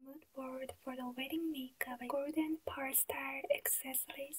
Mood board for the wedding makeup and golden pearl style accessories.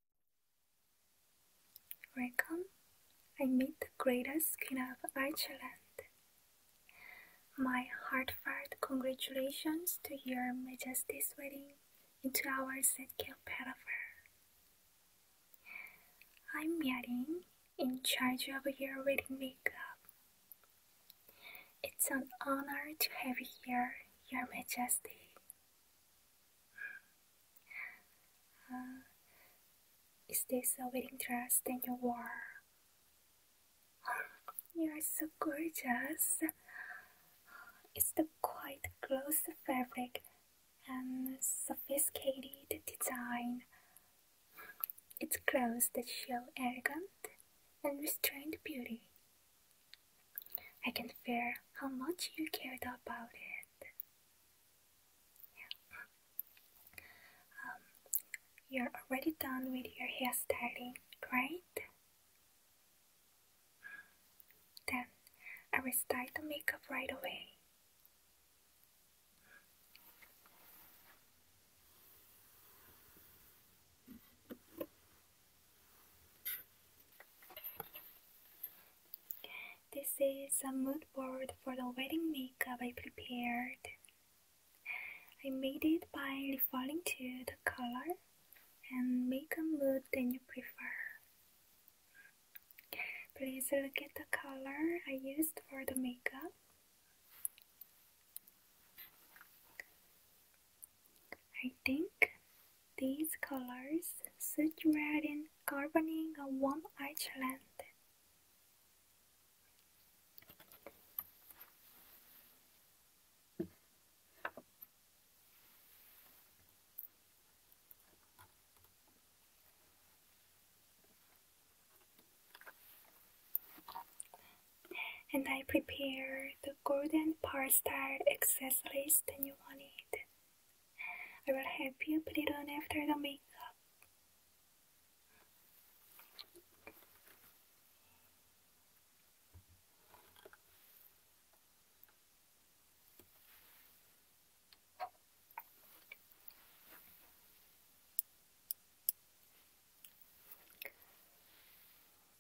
Welcome, I meet the greatest queen of Ireland. My heartfelt congratulations to your Majesty's wedding in two hours at Kilpetover. I'm Yarin, in charge of your wedding makeup. It's an honor to have you here, Your Majesty. Uh, is this a wedding dress that you wore? You're so gorgeous. It's the quite close fabric and sophisticated design. It's clothes that show elegant and restrained beauty, I can feel how much you cared about it. Um, you're already done with your hairstyling, right? Then I will start the makeup right away. This is a mood board for the wedding makeup I prepared. I made it by referring to the color and make a mood that you prefer. Please look at the color I used for the makeup. I think these colors suit red and governing a warm Iceland. and I prepared the golden style accessories that you wanted. I will help you put it on after the makeup.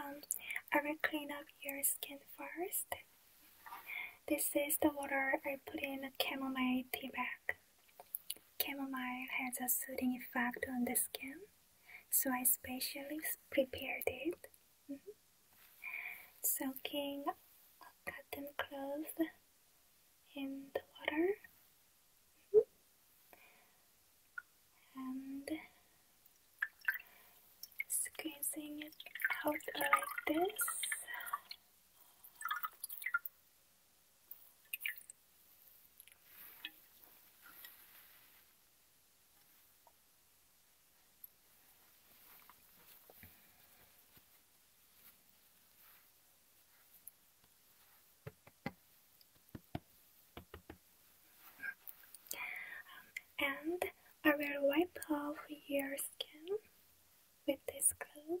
Um, I will clean up your skin first. This is the water I put in a chamomile tea bag. Chamomile has a soothing effect on the skin so I specially prepared it. Mm-hmm. Soaking a cotton cloth in the water mm-hmm. and squeezing it out like this and I will wipe off your skin with this cloth.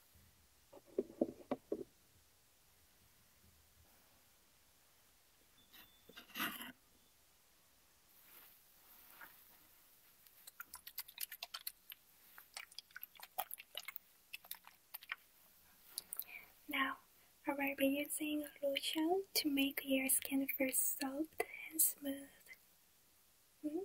Now, I will be using lotion to make your skin feel soft and smooth. -hmm.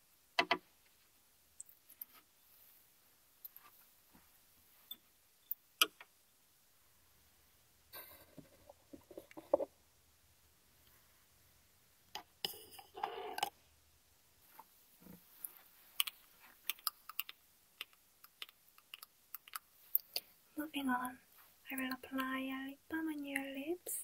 Moving on, I will apply a lip balm on your lips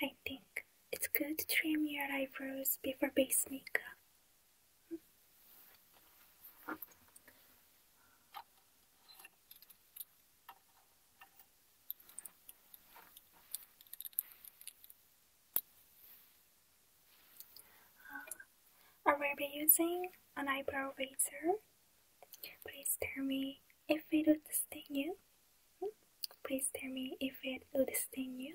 I think it's good to trim your eyebrows before base makeup. Uh, I will be using an eyebrow razor. Please tell me if it would sting you. Please tell me if it would sting you.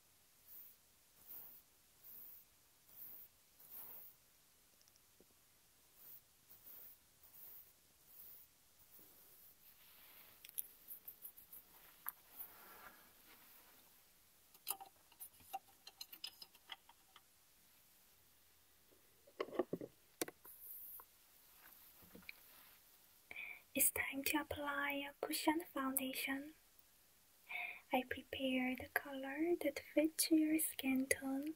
It's time to apply a cushion foundation. I prepare the color that fits your skin tone.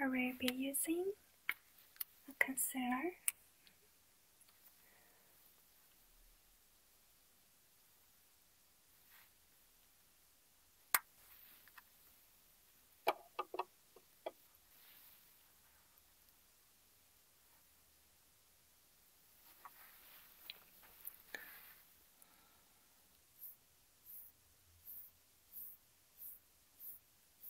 I will be using a concealer.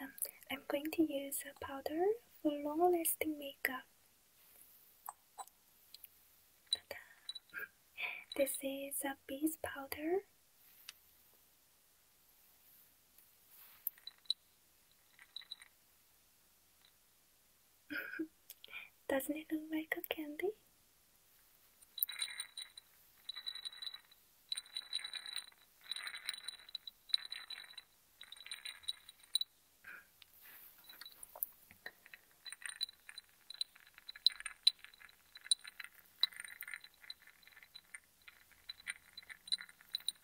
Um, I'm going to use a powder for long lasting makeup. This is a bees powder. Doesn't it look like a candy?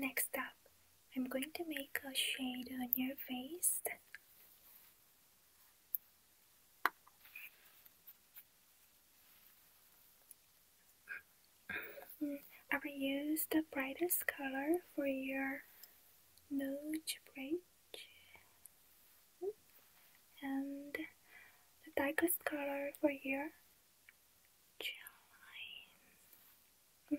Next up, I'm going to make a shade on your face. I will use the brightest color for your nose bridge and the darkest color for your jawline. Mm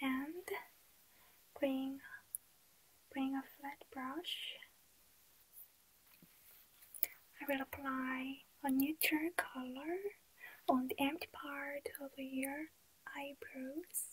and bring bring a flat brush I will apply a neutral color on the empty part of your eyebrows.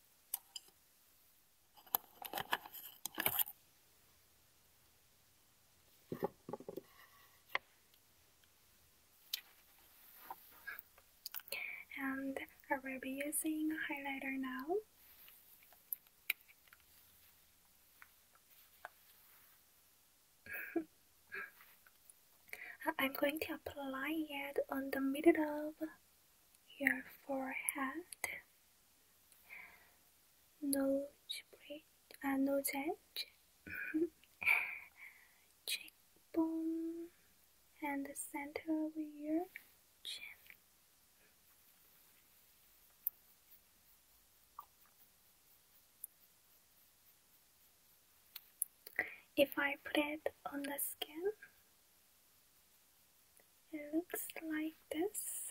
And I will be using highlighter now. I'm going to apply it on the middle of your forehead, nose bridge, uh, nose edge, cheekbone, and the center of your chin if I put it on the skin, it looks like this.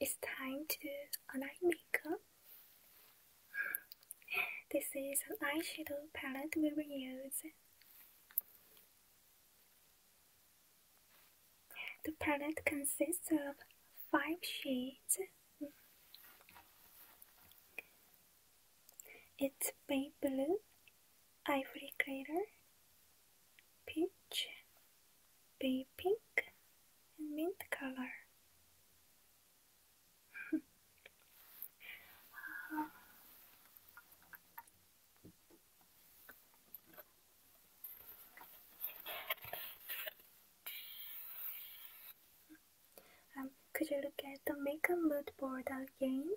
It's time to online makeup. This is an eyeshadow palette we will use. The palette consists of five shades. It's bay blue, ivory glitter, peach, bay pink, and mint color. Ah. Um, could you look at the makeup mood board again?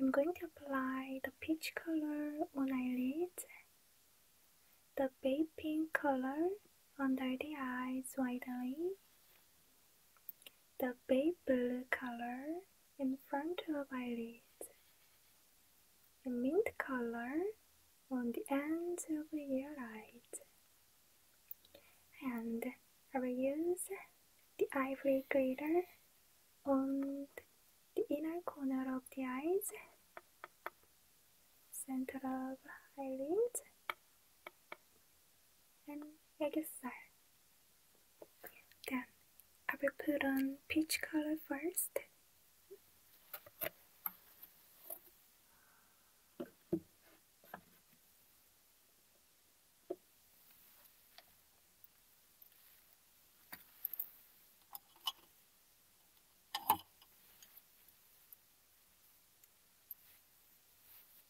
I'm going to apply the peach color on eyelids, the baby pink color under the eyes widely, the bay blue color in front of eyelids, the mint color on the ends of your eyelids, and I will use the ivory glitter on the inner corner of the eyes, center of eyelids, and exile. Then I will put on peach color first.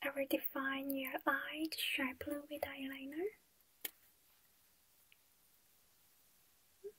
I will define your eyes sharply with eyeliner.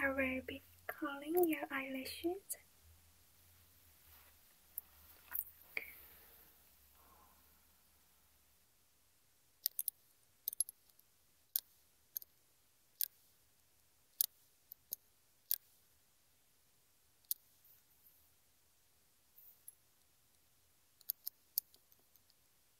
I will be curling your eyelashes.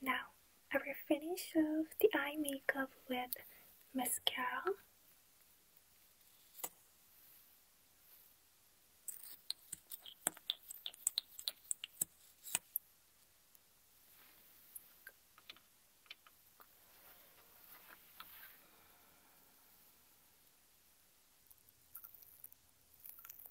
Now I will finish off the eye makeup with mascara.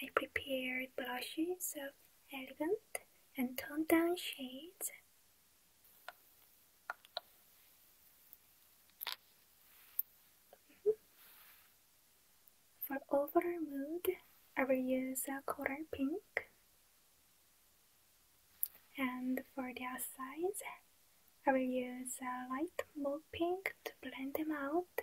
I prepared blushes of elegant and toned down shades. For overall mood, I will use a coral pink. And for the size, I will use a light mauve pink to blend them out.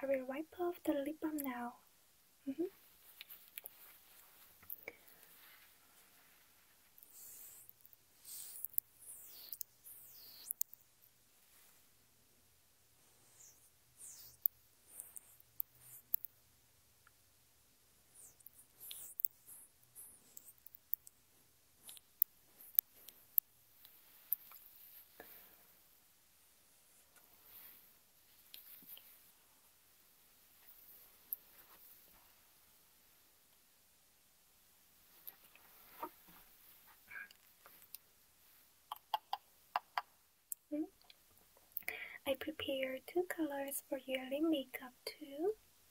I will wipe off the lip balm now. Mm-hmm. I prepared two colors for yearly makeup too.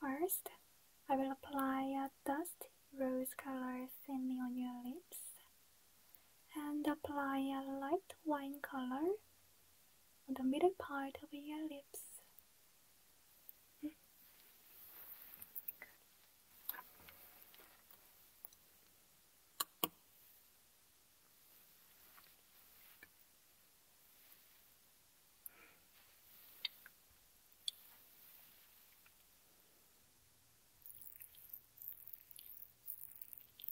First, I will apply a dusty rose color thinly on your lips and apply a light wine color on the middle part of your lips.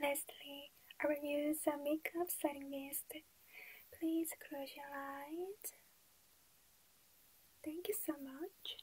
Lastly, I will use a makeup setting mist. Please close your eyes. Thank you so much.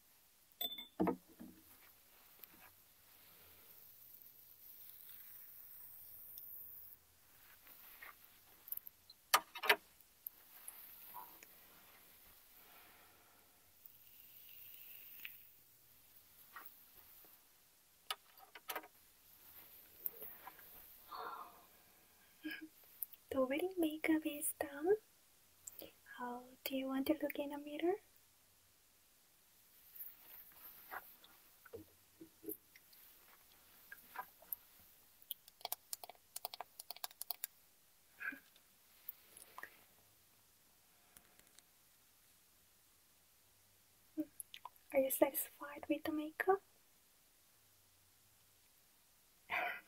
The wedding makeup is done. How do you want to look in a mirror? Are you satisfied with the makeup?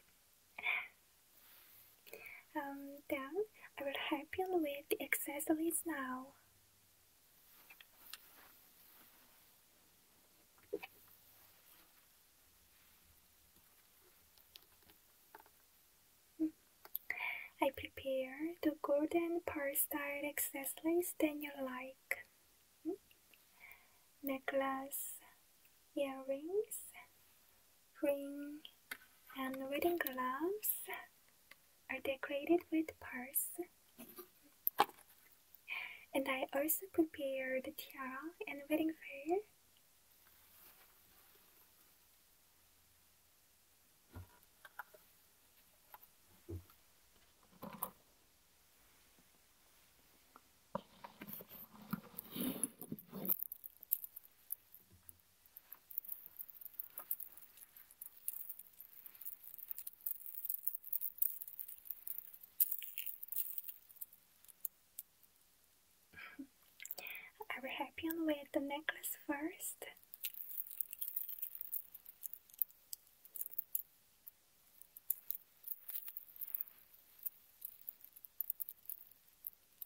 Um, then I will help you with the accessories now. I prepare the golden pearl style accessories that you like. Hmm? Necklace, earrings, ring, and wedding gloves are decorated with pearls. And I also prepared tiara and wedding veil. Are we happy with the necklace first?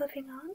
Moving on,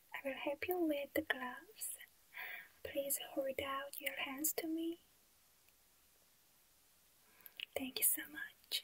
I will help you with the gloves. Please hold out your hands to me. Thank you so much.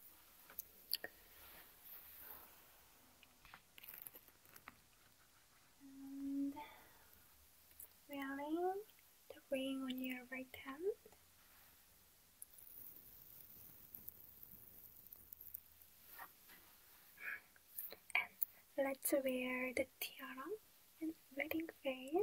wearing the ring on your right hand. And let's wear the tiara and wedding veil.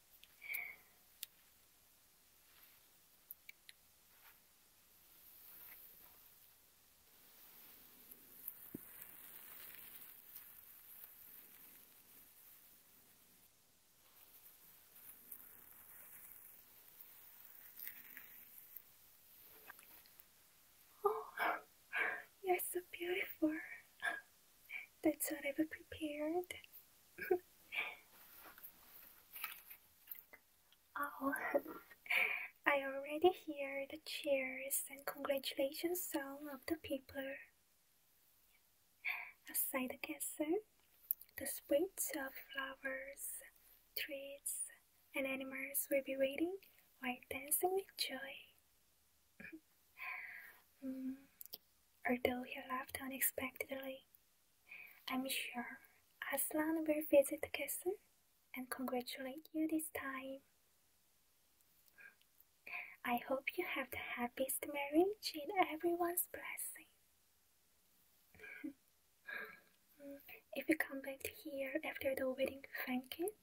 Oh, you're so beautiful. That's what I've prepared. oh, I already hear the cheers and congratulations song of the people. Aside the castle, the sweets of flowers, trees, and animals will be waiting while dancing with joy although mm. he left unexpectedly. I'm sure Aslan will visit the castle and congratulate you this time. I hope you have the happiest marriage in everyone's blessing. Mm. if you come back here after the wedding thank banquet,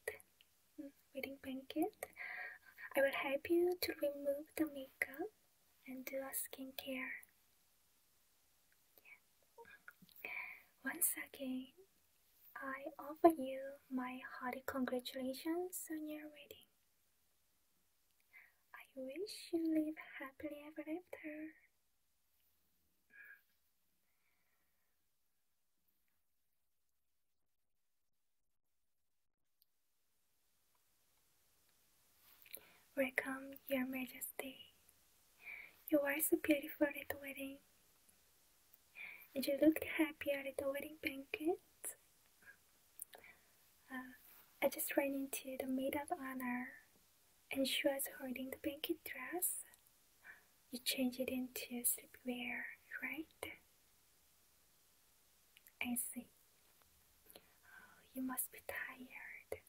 wedding banquet. I will help you to remove the makeup and do a skincare. Once again, I offer you my hearty congratulations on your wedding. I wish you live happily ever after. Welcome, Your Majesty. You are so beautiful at the wedding. And you looked happy at the wedding banquet. Uh, I just ran into the maid of honor and she was holding the banquet dress. You changed it into sleepwear, right? I see. Oh, you must be tired.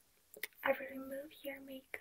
I will remove your makeup.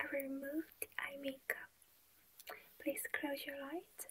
I removed eye makeup. Please close your eyes.